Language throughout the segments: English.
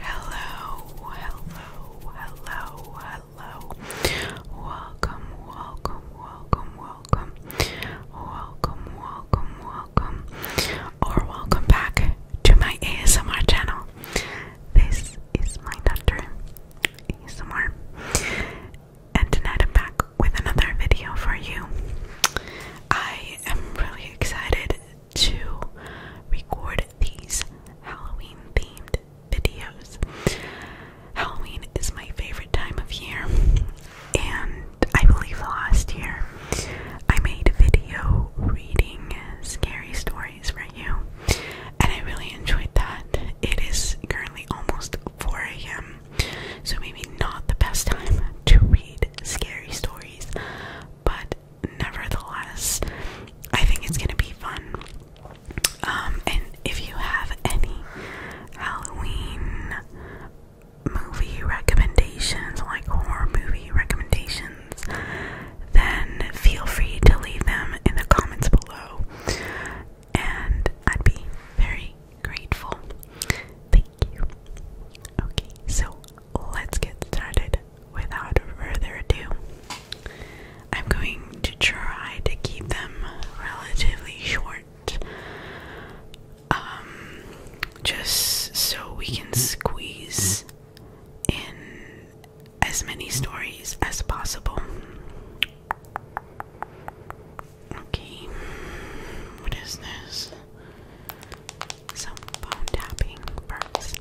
Hello, hello, hello, hello. Welcome, welcome, welcome, welcome. Welcome, welcome, welcome. Or welcome back to my ASMR channel. This is my doctor ASMR. And tonight I'm back with another video for you. I am really excited to record these Halloween themed videos. Halloween is my favorite time of year, and I believe last year I made a video reading scary stories for you, and I really enjoyed that. It is currently almost 4 a.m so maybe not the best time to read scary stories, but nevertheless, I think it's gonna be fun. Um, and if you have any Halloween movie recommendations, like horror movie recommendations, then feel free to leave them in the comments below. And I'd be very grateful. Thank Okay, so let's get started. Without further ado, I'm going to try to keep them relatively short. Um, just so we can squeeze in as many stories as possible. Okay. What is this? Some phone tapping first.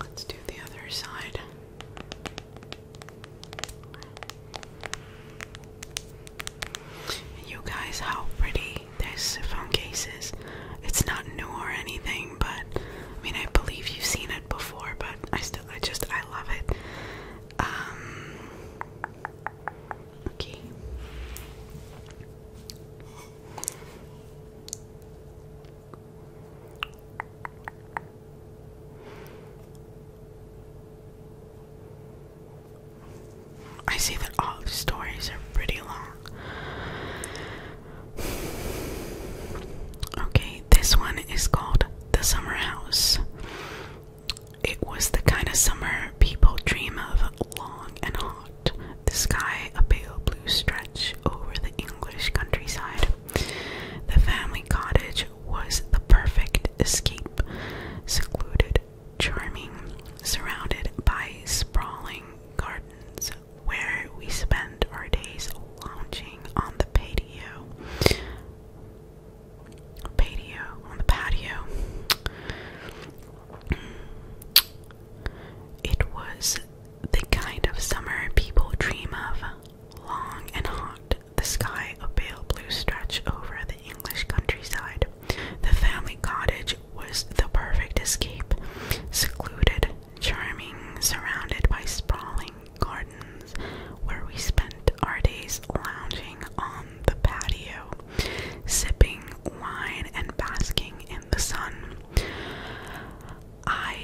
Let's do the other side you guys, how pretty this phone case is. It's not new or anything, but I mean, I believe you've seen it before, but I still, I just, I love it. Um, okay. I see that all the stories are pretty long. Okay, this one is called The Summer House. It was the kind of summer people dream of long and hot, the sky a pale blue stretch over the English countryside. The family cottage was the perfect escape, secluded, charming, surrounded by sprawling gardens, where we spent our days lounging on the patio. Patio on the patio. It was the kind of summer people dream of. Long and hot, the sky a pale blue stretch over the English countryside. The family cottage was the perfect escape, secluded, charming, surrounded by sprawling gardens, where we spent our days lounging on the patio, sipping wine and basking in the sun. I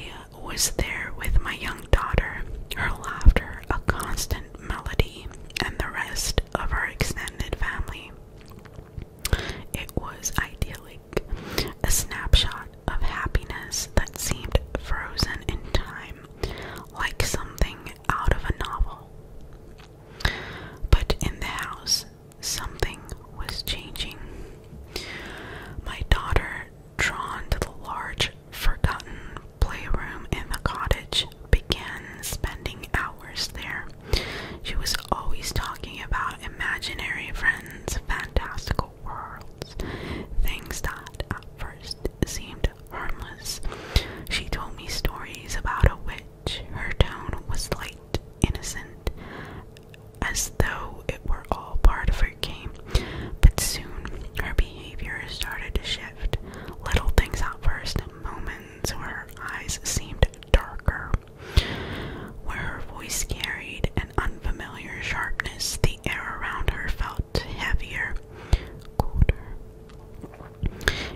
was there with my young daughter, her laughter a constant melody, and the rest of our extended family. It was idyllic, a snapshot of happiness that seemed frozen in time, like something out of a novel. But in the house, something was changing. My daughter drawn to the large, forgotten playroom in the cottage, began spending hours there. She was always talking about imaginary friends, fantastical worlds, things that at first seemed harmless. She told me stories about a witch. Her tone was light, innocent, as though it were all part of her overcame, but soon her behavior started to shift. Little things at first, moments where her eyes seemed darker, where her voice carried an unfamiliar sharpness, the air around her felt heavier, colder.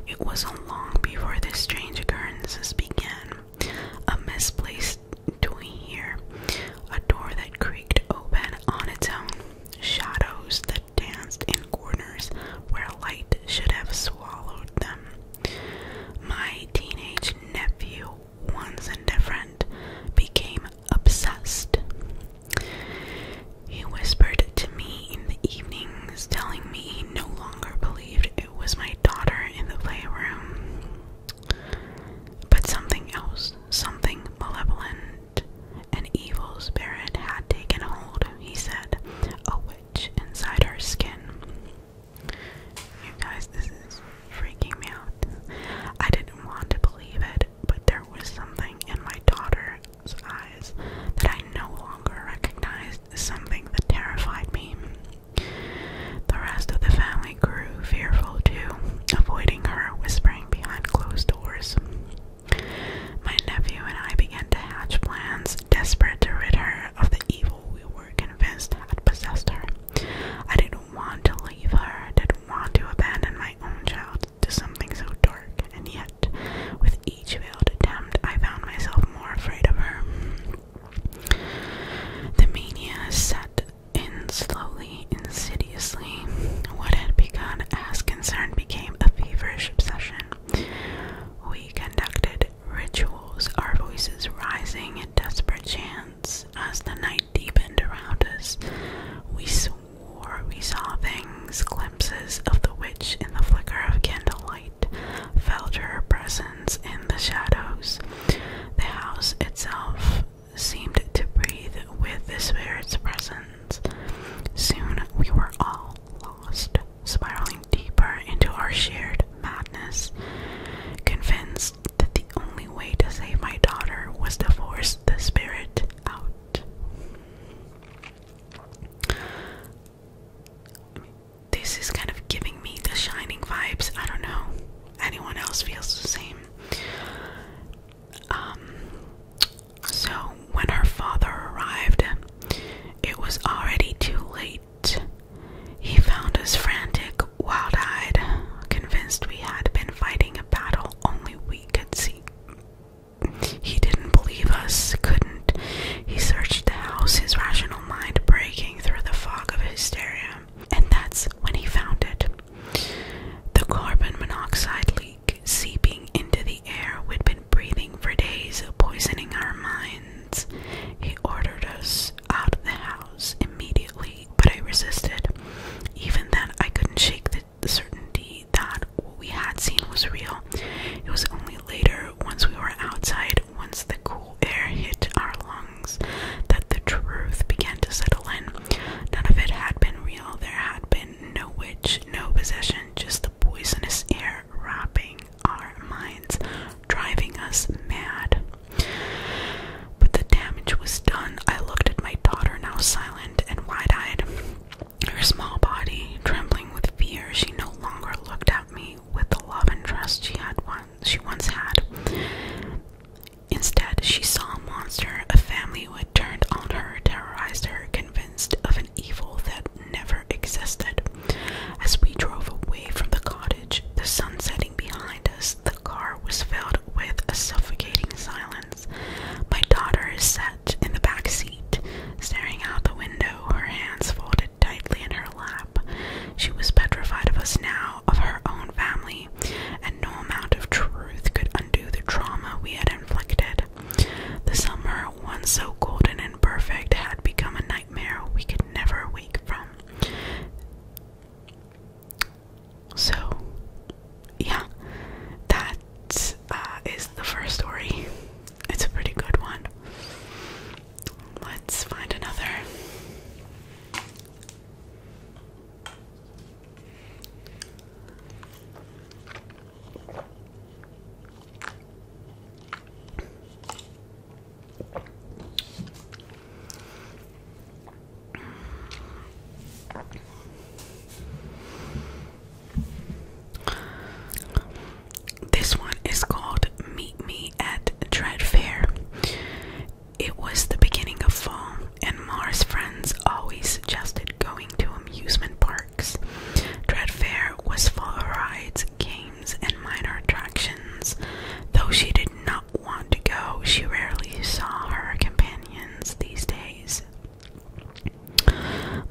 It wasn't long before the strange occurrences began. A misplaced doing here? A door that creaked open on its own, shadows that danced in corners where light should have swallowed them. My teenage nephew, once indifferent, became obsessed. He whispered to me in the evenings, telling me he no longer believed it was my daughter in the playroom. But something else, something malevolent, an evil spirit had taken hold, he said, a witch inside her skin. You guys, this is freaking me out. I didn't want to believe it, but there was something in my daughter's eyes that I no longer recognized, something that terrified me. The rest of the family I grew fearful too, avoiding her, whispering behind closed doors. My nephew and I began to hatch plans, desperate to rid her of the evil we were convinced had possessed her. I didn't want to leave her, I didn't want to abandon my own child to something so dark, and yet, with each failed attempt, I found myself more afraid of her. The mania set in slowly, insidiously. What had begun as concern became a feverish obsession. We conducted rituals, our voices rising in desperate chants as the night deepened around us. We swore we saw things, glimpses of the witch in the flicker of candlelight, felt her presence in the shadows. The house itself seemed to breathe with the spirit's presence. Soon we were all lost, spiraling deeper into our shared madness, convinced that the only way to save my daughter was to force the spirit out. this is kind of giving me the shining vibes. I don't know. Anyone else feels the same. Um, so when her father arrived, it was already too late. He found us frantic, wild eyed, convinced we had been fighting a battle only we could see. He didn't believe us, couldn't. He searched the house, his rational mind breaking through the fog of hysteria. And that's when he found it the carbon monoxide leak seeping into the air we'd been breathing for days, poisoning our minds. He ordered us out of the house immediately, but I resisted. Even then, I couldn't shake the, certainty that what we had seen was real. It was only later, once we were outside, once the cool air hit our lungs that the truth began to settle in. None of it had been real. There had been no witch, no possession, just the poisonous air wrapping our minds, driving us mad. But the damage was done. I looked at my daughter, now silent and wide eyed. Her small body trembling with fear, she no longer looked at me with the love and trust she had once she once had. Instead, she saw a monster, a family who had turned on her, terrorized her, convinced of an evil that never existed. As we drove away from the cottage, the sun setting behind us, the car was filled with a suffocating silence. My daughter sat in the back seat, staring out the window, her hands folded tightly in her lap. She was petrified of us now of her own family, and no amount of truth could undo the trauma we had inflicted. The summer, once so golden and perfect, had become a nightmare we could never wake from. So, yeah, that uh, is the first story. It's a pretty good one. Let's find another. This one is called Meet Me at Tread Fair. It was the beginning of fall, and Mars friends always suggested going to amusement parks. Dread Fair was full of rides, games, and minor attractions. Though she did not want to go, she rarely saw her companions these days.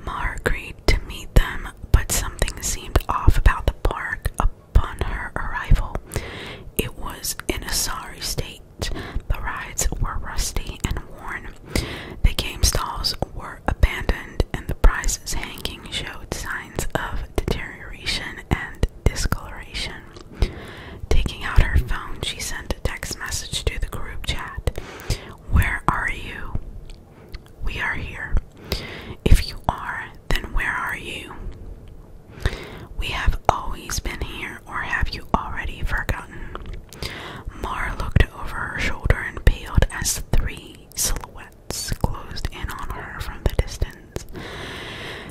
Mar agreed to meet them, but something seemed off about the park upon her arrival. It was in a sorry state the rides were rusty and worn. The game stalls were abandoned, and the prizes hanging showed signs of deterioration and discoloration. Taking out her phone, she sent a text message to the group chat Where are you? We are here. If you are, then where are you? We have always been here, or have you already forgotten? Mara looked over her shoulder and paled as three silhouettes closed in on her from the distance.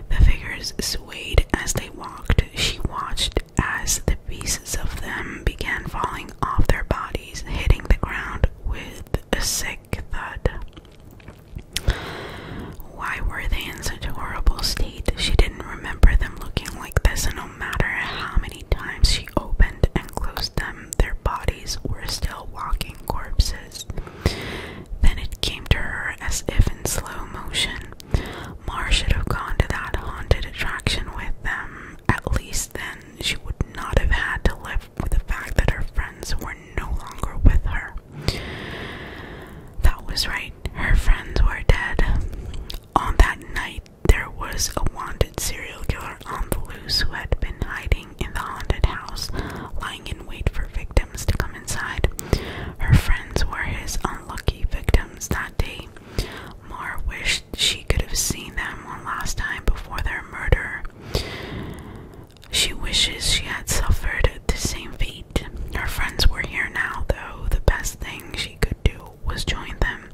The figures swayed as they walked. She watched as the pieces of them began falling off their bodies, hitting the ground with a sick thud. Why were they in such a horrible state? She didn't remember them looking like this, and no matter how many times she opened and closed them, their bodies were still walking corpses. Then it came to her as if in slow motion. Mar should have gone to that haunted attraction with them. At least then she would not have had to live with the fact that her friends were no longer with her. That was right her friends were dead. On that night, there was a wanted serial killer on the loose who had been hiding in the haunted house, lying in wait for victims to come inside. Her friends were his unlucky victims that day. Mar wished she could have seen them one last time before their murder. She wishes she had suffered the same fate her friends were here now, though. The best thing she could do was join them.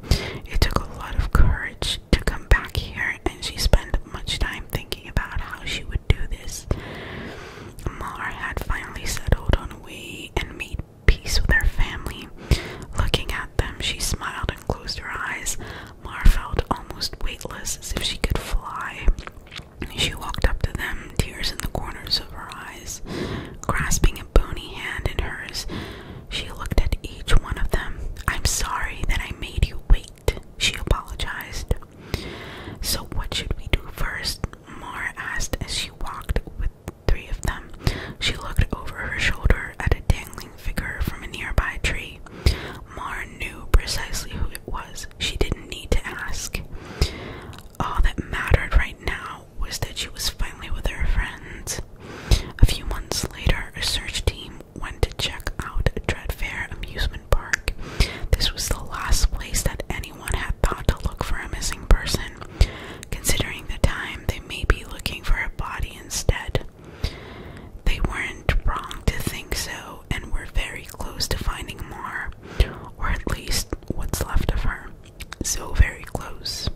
It took a lot of courage to come back here, and she spent much time thinking about how she would do this. Mar had finally settled on Wei and made peace with her family. Looking at them, she smiled and closed her eyes. Mar felt almost weightless, as if she could fly. She walked up to them, tears in the corners of her eyes. Grasping a bony hand in hers, she looked at each one of them. I'm sorry that I made you wait, she apologized. So, what should we do first?" Mara asked as she walked with three of them. She looked over her shoulder at a dangling figure from a nearby tree. Mara knew precisely who it was she didn't need to ask. All that mattered right now was that she was finally with her friends. A few months later, a search team went to check out Dreadfair Amusement Park. This was the last place that anyone had thought to look for a missing person. Considering the time, they may be looking for a body instead. They weren't wrong to think so and were very close to finding more, or at least what's left of her. So very close.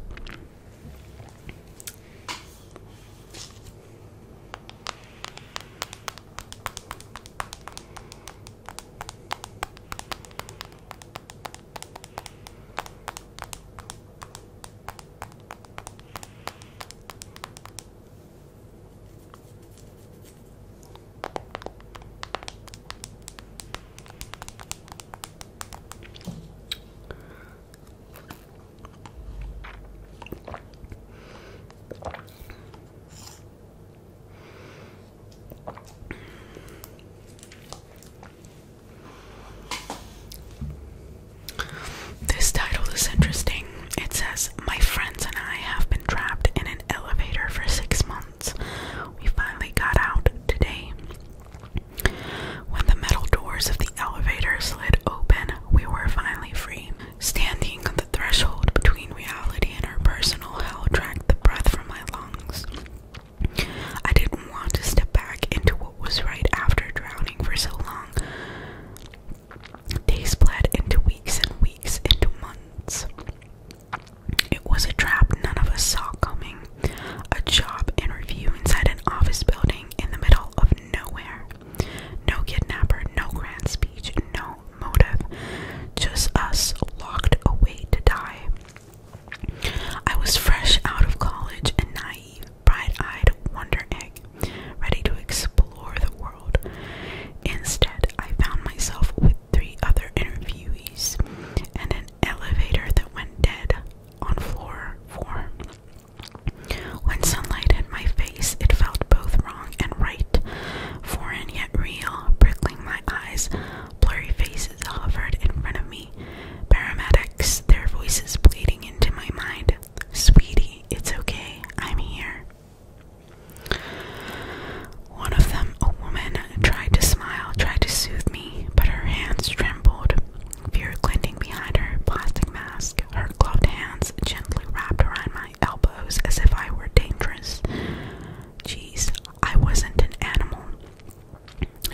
This title is interesting. It says, My friends and I have been trapped in an elevator for six months. We finally got out today. When the metal doors of the elevator slid open, we were finally free. Standing on the threshold between reality and our personal hell dragged the breath from my lungs. I didn't want to step back into what was right after drowning for so long. Days bled into weeks and weeks into months. It was a trap none of us saw coming. A job interview inside an office building in the middle of nowhere. No kidnapper, no grand speech, no motive. Just us locked away to die. I was fresh out of college and naive, bright eyed wonder egg, ready to explore the world. Instead, I found myself with three other interviewees and an elevator that went dead on floor four. When sunlight hit my face, it felt both wrong and right, foreign yet real, prickling my eyes. Blurry faces hovered in front of me, paramedics, their voices bleeding into my mind. Sweetie, it's okay, I'm here. One of them, a woman, tried to smile, tried to soothe me, but her hands trembled. Fear glinting behind her plastic mask, her gloved hands gently wrapped around my elbows as if I were dangerous. Jeez, I wasn't an animal.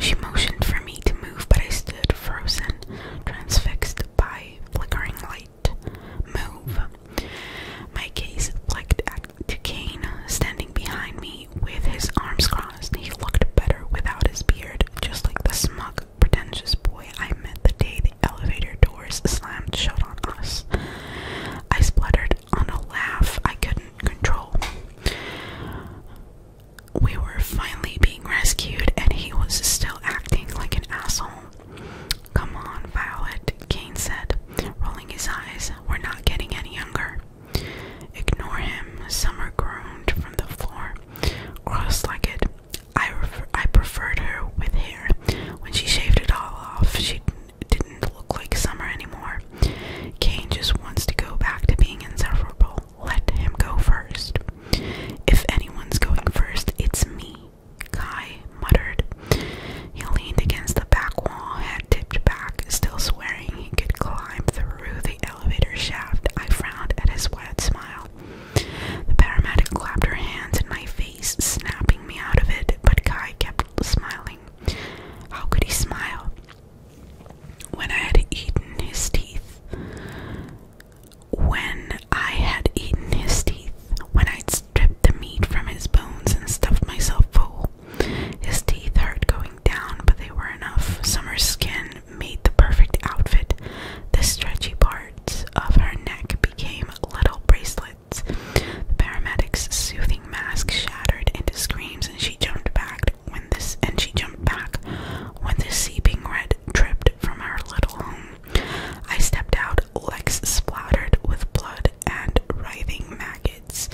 She motioned for me to move, but I stood frozen, transfixed by flickering light. Move, my gaze flicked to Duquesne, standing behind me with his arms crossed. He looked better without his beard, just like the smug, pretentious boy I met the day the elevator doors slammed shut on us. I spluttered on a laugh I couldn't control. We were finally being rescued, and he was still acting like an asshole. Come on, Violet, Kane said, rolling his eyes. We're not getting any younger. Ignore him, Summer groaned from the floor, cross-legged. I, I preferred her with hair. When she shaved it all off, she didn't look like Summer anymore. Kane just wants to go back to being inseparable. Let him go first. If anyone's going first, it's me. Kai muttered. He leaned against the back wall, head tipped back, still swearing he could climb through the elevator shaft. I frowned at his wide smile. The paramedic clapped her hands in my face, snapping me out of it, but Kai kept smiling. How could he smile? When I had eaten his teeth. When I had eaten his teeth, when I'd stripped the meat from his bones and stuffed myself full. His teeth hurt going down, but they were enough. Summer's skin made the perfect outfit. The stretchy parts of her neck became little bracelets. The paramedic's soothing mask shattered into screams, and she jumped back when this and she jumped back when the seeping red dripped from her little home. I stepped out, legs splattered with blood and writhing maggots.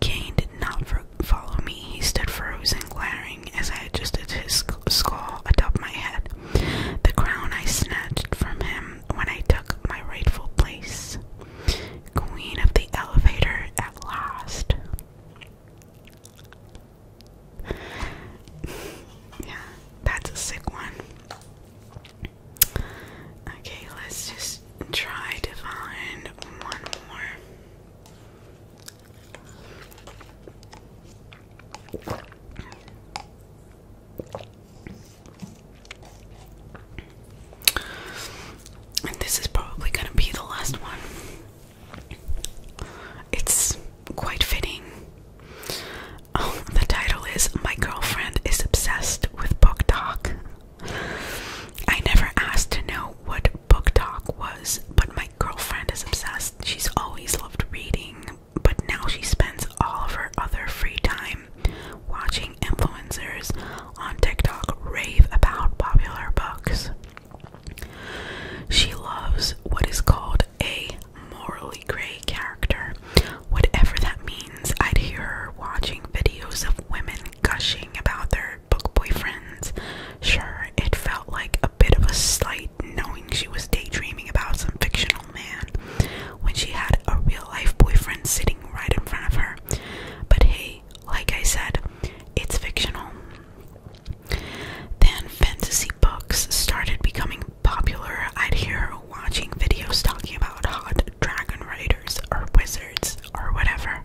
Cain did not follow me. He stood frozen, glaring as I adjusted his skull atop my head. The crown I snatched from him when I took my rightful place. Queen of the elevator at last. yeah, that's a sick one. Okay, let's just try to find one more. And this is probably going to be the last one. It's quite fitting. Oh, the title is My Girlfriend is Obsessed with book talk. I never asked to know what book talk was, but my girlfriend is obsessed. She's always loved reading, but now she spends all of her other free time watching influencers on TikTok rave about popular books. She loves what is called a morally gray character, Whatever that means, I'd hear her watching videos of women gushing about their book boyfriends. Sure, it felt like a bit of a slight knowing she was daydreaming about some fictional man when she had a real life boyfriend sitting right in front of her. But hey, like I said, it's fictional. Then fantasy books started becoming popular. I'd hear her watching videos talking about hot dragon riders or wizards or whatever.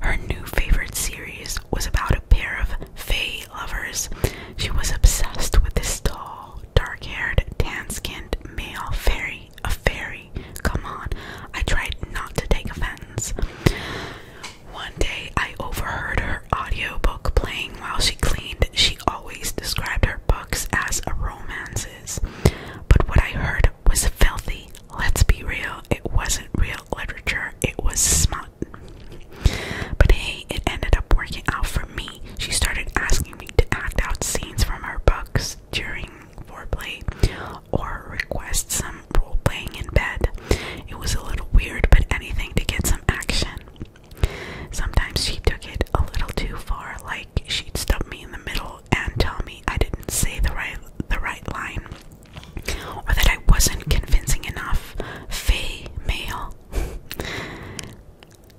Her new favorite series was about a pair of fae lovers. She was obsessed with this tall, dark-haired, tan-skinned male fairy. A fairy. Come on. I tried not to take offense. One day I overheard her audiobook playing while she cleaned. She always described her books as romances but what I heard was filthy. Let's be real, it wasn't real literature, it was smut. But hey, it ended up working out for me. She started asking me to act out scenes from her books during foreplay or request some role playing in bed. It was a little weird, but anything to get some action. Sometimes she took it a little too far, like she'd stop me in the middle and tell me I didn't say the right the right line or that I wasn't convincing enough. Fay male.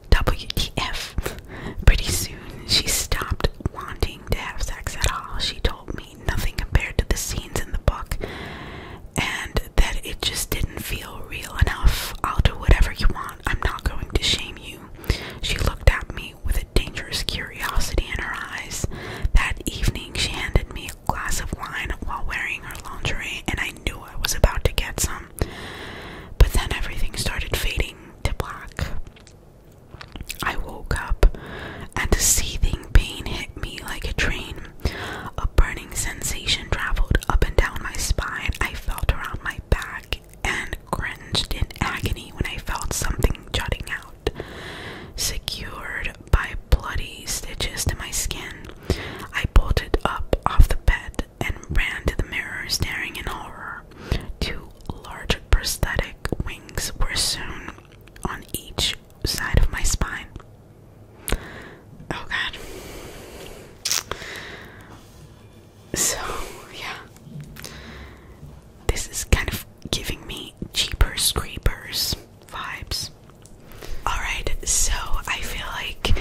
WTF. Pretty soon she stopped wanting to have sex at all. She told me nothing compared to the scenes in the book and that it just didn't feel real enough. I'll do whatever you want. I'm not going to shame you. She looked at me with a dangerous curiosity in her eyes. That evening, she handed me a glass of wine while wearing her lingerie, and I knew I was about to get some. But then everything started fading to black. I woke up, and a seething pain hit me like a train. A burning sensation traveled up and down my spine. I felt around my back and cringed in agony when I felt something jutting out, secured by bloody stitches to my skin. I bolted up off the bed and ran to the mirror, staring in horror. Two large prosthetic wings were sewn on each side of my spine. Oh god. So, yeah. This is kind of giving me cheaper scrapers vibes. Alright, so I feel like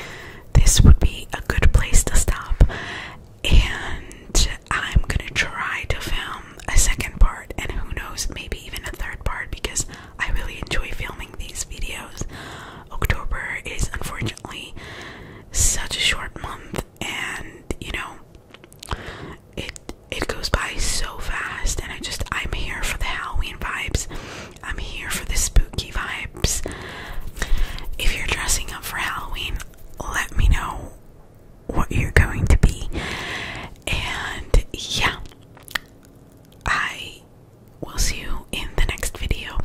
this would be a good place to stop. And I'm gonna try to film a second part, and who knows, maybe even a third part because I really enjoy filming these videos. October is unfortunately such a short month and you know it it goes by so fast and I just I'm here for the Halloween vibes. I'm here for the spooky vibes. If you're dressing up for Halloween, let me know what you're going to be. And yeah, I will see you in the next video.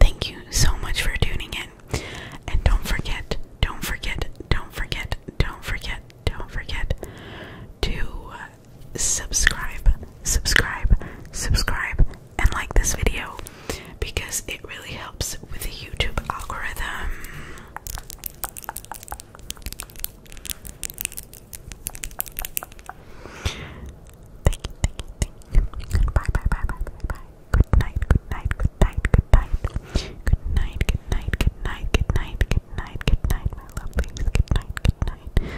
Thank you so much for tuning in. And don't forget, don't forget, don't forget, don't forget, don't forget to uh, subscribe, subscribe, subscribe, and like this video because it really helps with the YouTube algorithm. Thank you, thank you, thank you. Bye, bye, bye, bye, bye, bye. Good night, good night, good night, good night. Good night, good night, good night, good night, good night, good night, my lovelies. Good night, good night.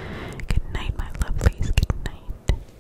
Good night, my lovelies. Good night.